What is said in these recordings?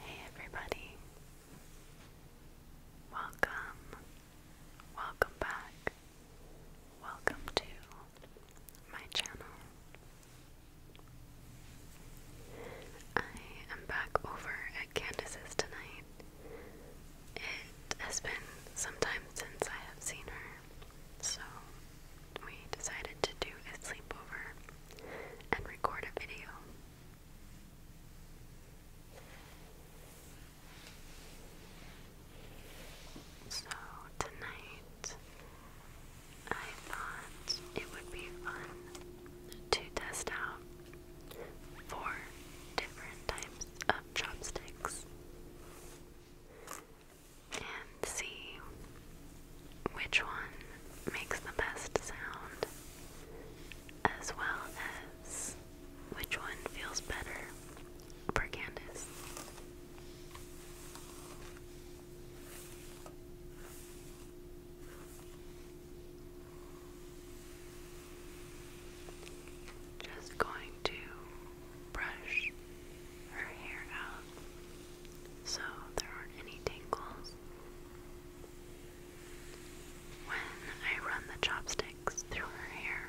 Hey everybody. Welcome. Welcome back. Welcome to my channel. I am back over at Candace's tonight. It has been some time since I have seen her so we decided to do a sleepover and record a video. So tonight I thought it would be fun to test out four different types of chopsticks and see which one makes the best sound, as well as which one feels better for Candace. Just going to brush her hair out so there aren't any tangles. When I run the chopsticks through her hair,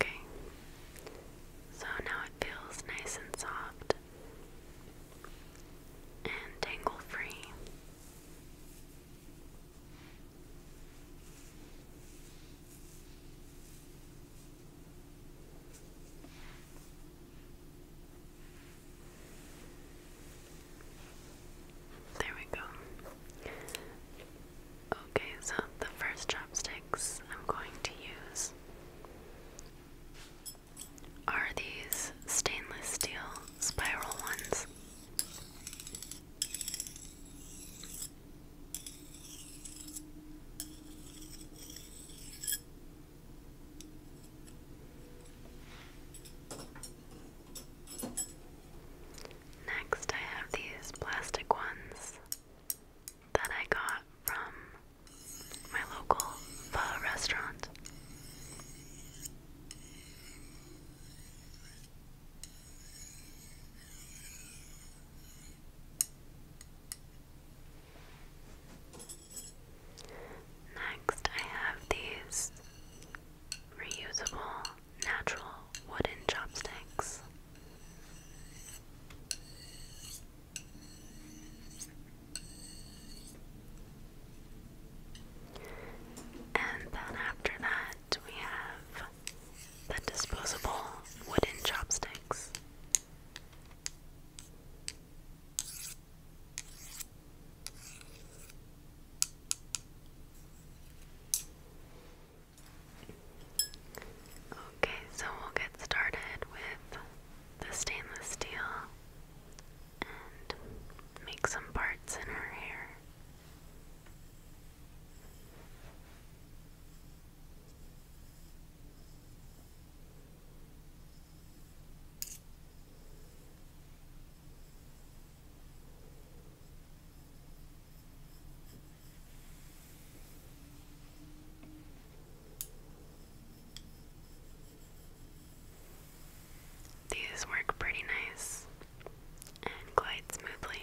Okay, so now it feels nice and soft and tangle free. There we go. Okay, so the first chopsticks I'm going to use are these stainless steel spiral ones. Next, I have these plastic ones that I got from my local restaurant. Next, I have these reusable natural wooden chopsticks. And then after that, we have the disposable wooden chopsticks. Okay, so we'll get started with the stainless steel and make some parts in her hair. These work pretty nice and glide smoothly.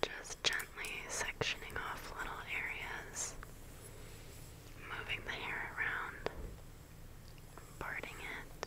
Just gently sectioning off little areas, moving the hair around, parting it.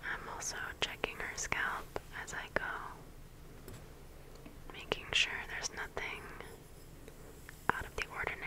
I'm also checking her scalp as I go, making sure there's nothing out of the ordinary.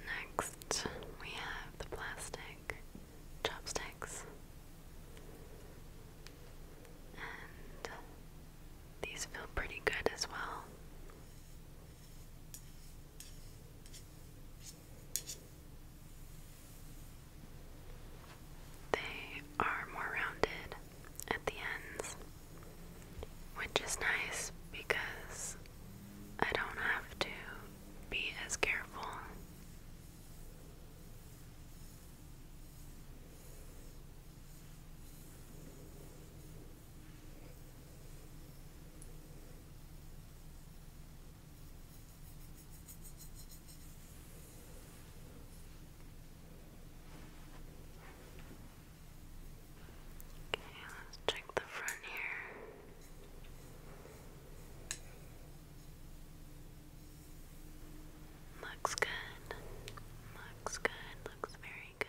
Next, we have the plastic chopsticks. And these feel pretty good as well. They are more rounded at the ends which is nice because I don't have to be as careful. Okay, let's check the front here. Looks good. Looks good. Looks very good.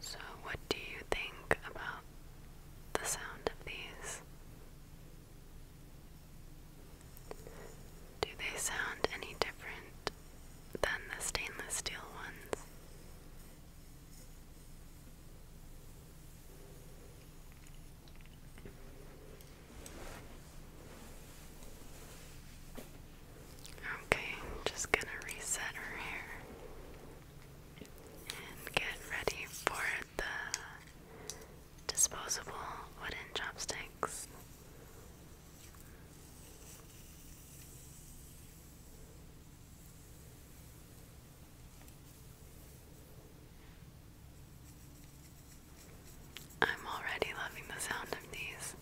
So, what do you think about the sound of these? Do they sound any different than the stainless steel ones? Okay, just gonna reset her hair and get ready for the disposable wooden chopsticks. I'm already loving the sound of these.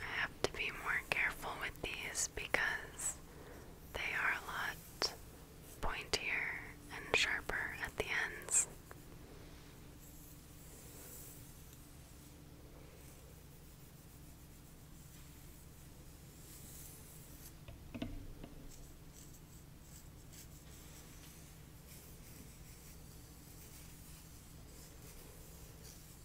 I have to be more careful with these because they are a lot pointier and sharper at the ends.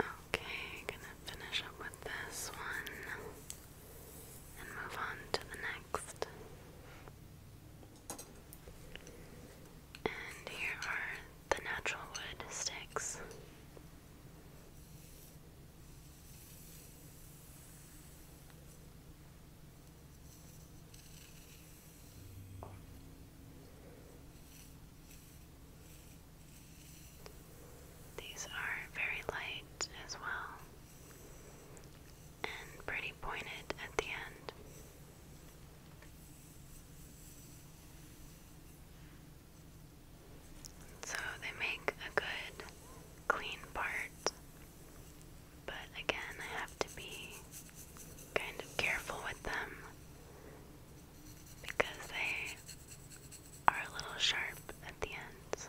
Okay, gonna finish up with this one and move on to the next. And here are the natural wood sticks. These are very light as well and pretty pointed at the end. So they make a good, clean part. But again, I have to be kind of careful with them because they are a little sharp at the ends.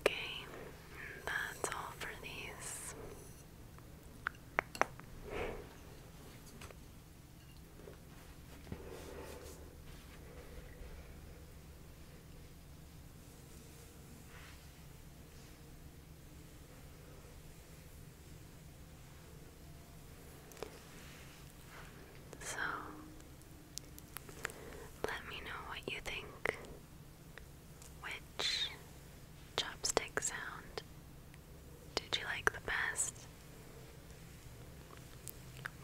Okay, that's all for these. So let me know what you think. Which chopstick sound did you like the best?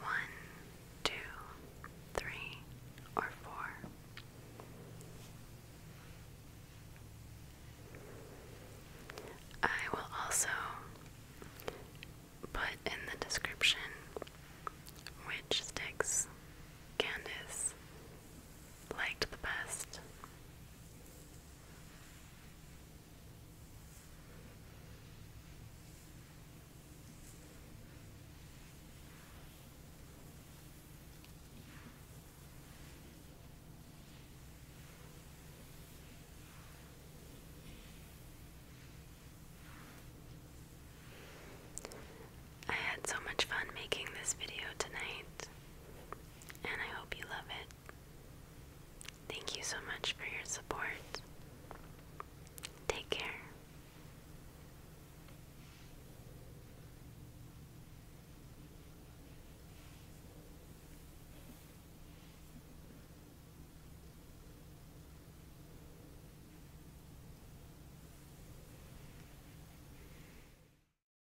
One, two, three, or four? I will also put in the description which sticks Candace liked the best. I had so much fun making this video tonight and I hope you love it. Thank you so much for your support. Take care.